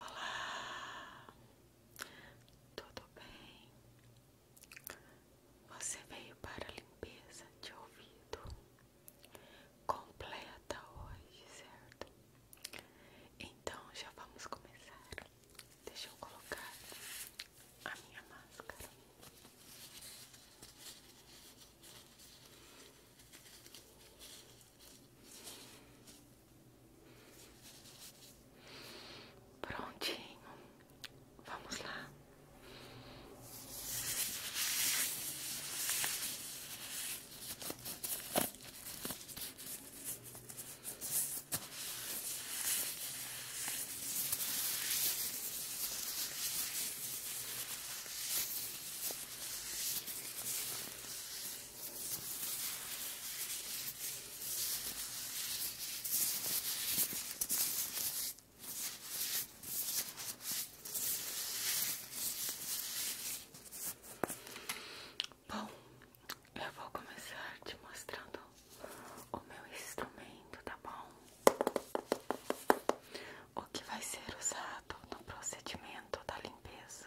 Olá, tudo bem? Você veio para a limpeza de ouvido completa hoje, certo? Então já vamos começar. Deixa eu colocar a minha máscara. Prontinho, vamos lá. Bom, eu vou começar te mostrando o meu instrumento, tá bom? O que vai ser usado no procedimento da limpeza.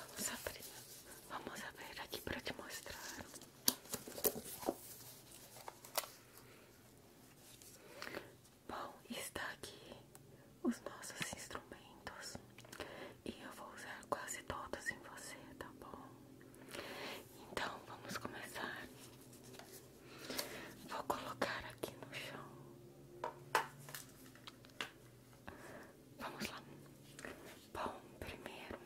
Vamos abrir, vamos abrir aqui para te mostrar. Bom, está aqui os nossos instrumentos e eu vou usar quase todos em você, tá bom? Então vamos começar. Vou colocar aqui no chão. Vamos lá. Bom, primeiro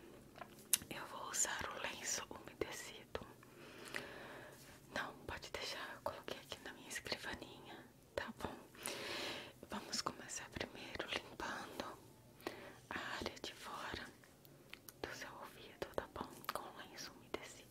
eu vou usar o lenço umedecido. Não, pode deixar, eu coloquei aqui na minha escrivaninha, tá bom? Vamos começar primeiro limpando a área de fora do seu ouvido, tá bom? Com o lenço umedecido.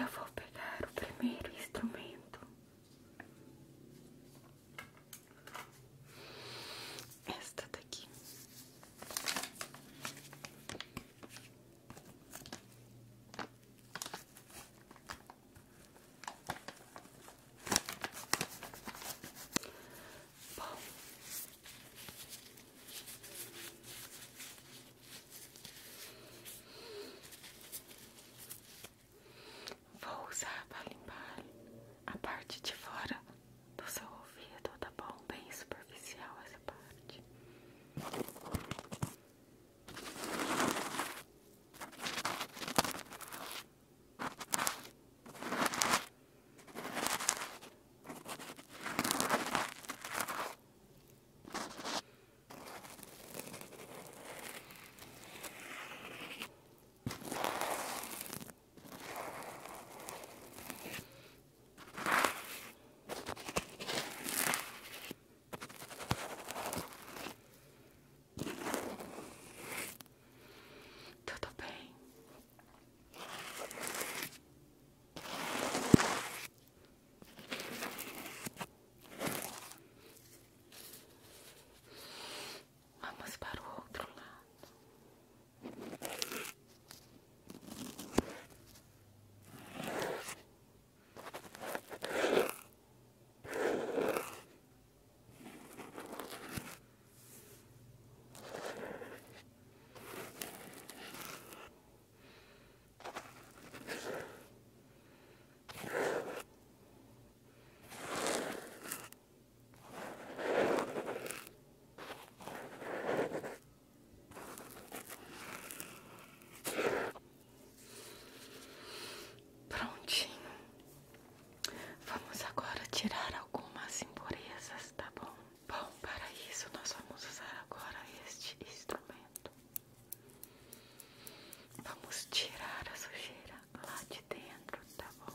Eu vou pegar o primeiro instrumento esta daqui. Bom. Vou usar para limpar a parte de fora do seu ouvido, tá bom? Bem superficial essa parte. Tudo bem. Vamos para o outro lado. Prontinho. Vamos agora tirar algumas impurezas, tá bom? Bom, para isso nós vamos usar agora este instrumento. Vamos tirar a sujeira lá de dentro, tá bom?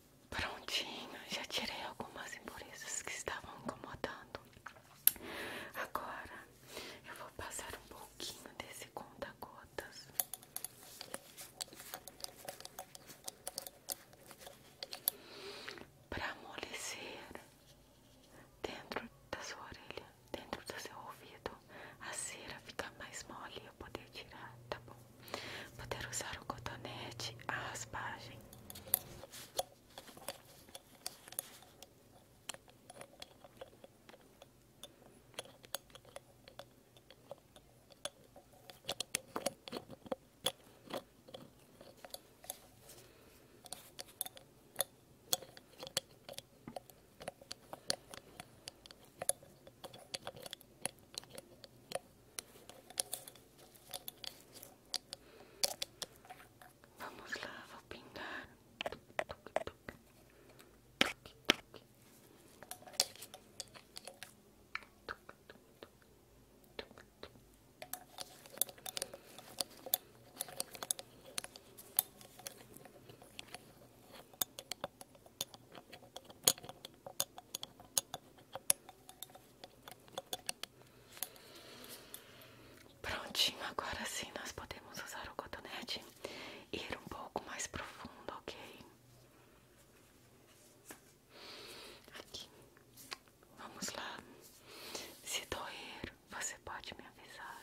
Prontinho, já tirei algumas impurezas que estavam incomodando. Agora eu vou passar um pouquinho desse conta-gotas. Para amolecer dentro da sua orelha, dentro do seu ouvido, a cera ficar mais mole e eu poder tirar, tá bom? Poder usar o cotonete, a raspagem. Vamos lá, vou pingar. Vou Prontinho, agora sim nós podemos usar o cotonete ir um pouco mais profundo, ok? Aqui, vamos lá. Se doer, você pode me avisar.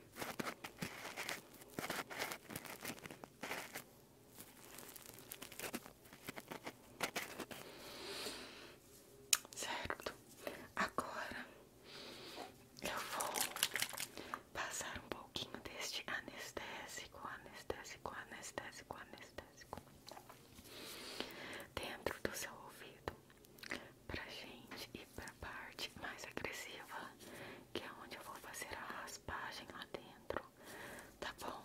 Certo, agora eu vou passar um pouquinho deste anestésico, anestésico, anestésico, anestésico dentro do seu ouvido pra gente ir para a parte mais agressiva que é onde eu vou fazer a raspagem lá dentro, tá bom?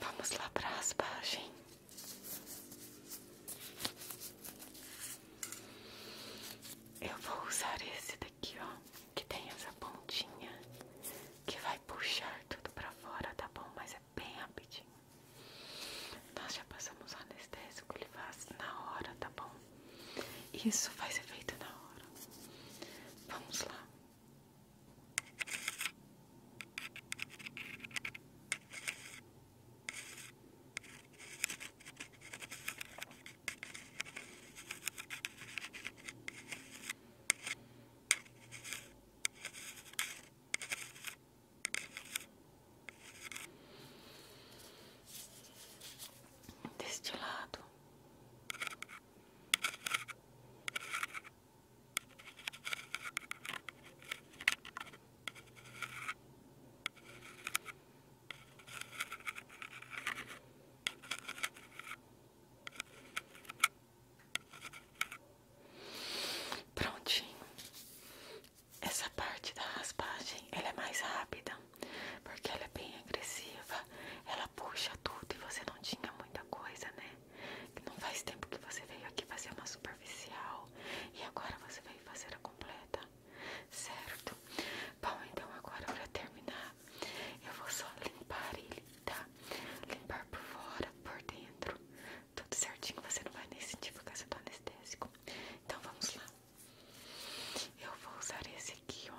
Vamos lá para a raspagem. Eu vou usar esse daqui, ó, que tem essa pontinha que vai puxar tudo para fora, tá bom? Mas é bem rapidinho. Nós já passamos anestésico, ele faz na hora, tá bom? Isso faz efeito na hora. Vamos lá. Deste lado Prontinho. Essa parte da raspagem, ela é mais rápida porque ela é bem agressiva, ela puxa tudo e você não tinha muita coisa, né? Não faz tempo que você veio aqui fazer uma superficial e agora você veio fazer a completa, certo? Bom, então agora para terminar, eu vou só limpar ele, tá? Limpar por fora, por dentro, tudo certinho, você não vai nem sentir por causa do tá anestésico. Então vamos lá. Eu vou usar esse aqui, ó.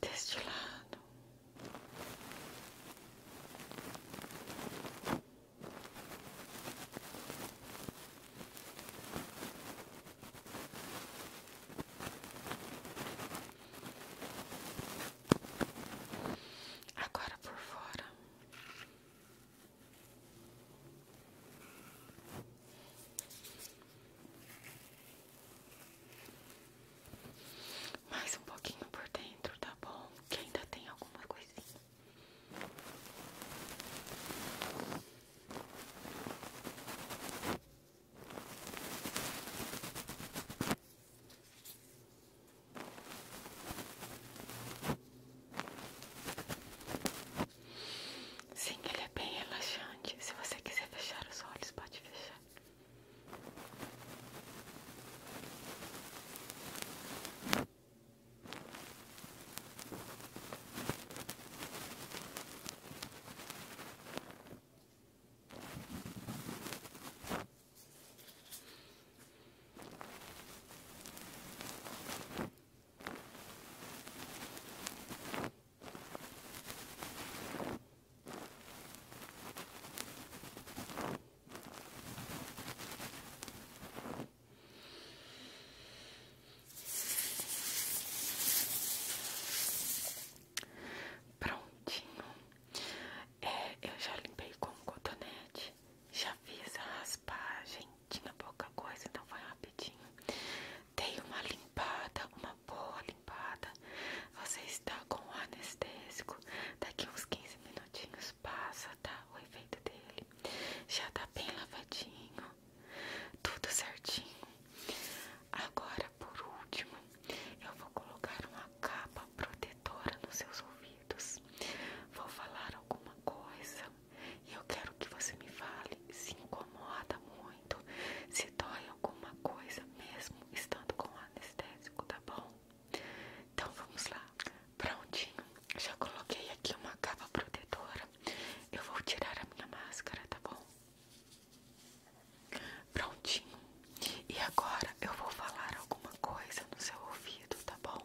deste lado. Agora por fora. Mais um pouquinho por dentro, tá bom? Que ainda tem alguma coisinha. Sim, ele é bem relaxante. Se você quiser fechar os olhos, pode fechar. Prontinho, é, eu já limpei com cotonete, já fiz a raspagem, tinha pouca coisa, então foi rapidinho. Dei uma limpada, uma boa limpada. Você está com o anestésico. Daqui uns 15 minutinhos passa, tá? O efeito dele. Já tá bem lavadinho. Tudo certinho. Agora, por último, eu vou colocar uma capa protetora nos seus ouvidos. Vou falar alguma coisa e eu quero que você me fale se incomoda muito, se dói alguma coisa mesmo estando com anestésico, tá bom? Então vamos lá. Prontinho. Já coloquei aqui uma capa protetora. Eu vou tirar a minha máscara, tá bom? Prontinho. E agora eu vou falar alguma coisa no seu ouvido, tá bom?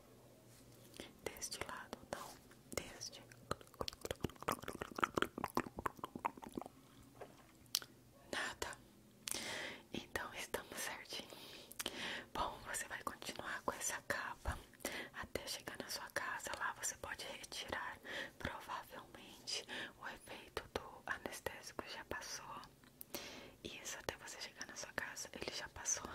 Deste lado, não, deste. Nada. Então estamos certinho. Bom, você vai continuar com essa capa até chegar na sua casa. Lá você pode retirar. Provavelmente o efeito do anestésico já passou. Isso até você chegar na sua casa, ele já passou.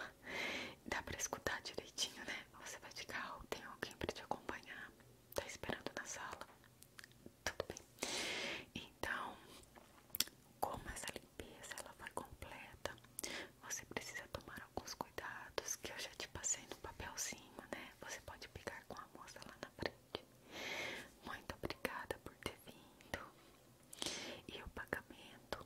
Dá pra escutar direitinho, né? Você vai de carro, oh, tem alguém pra te acompanhar, tá esperando na sala. Tudo bem. Então, como essa limpeza ela vai completa, você precisa tomar alguns cuidados que eu já te passei no papelzinho, né? Você pode pegar com a moça lá na frente. Muito obrigada por ter vindo. E o pagamento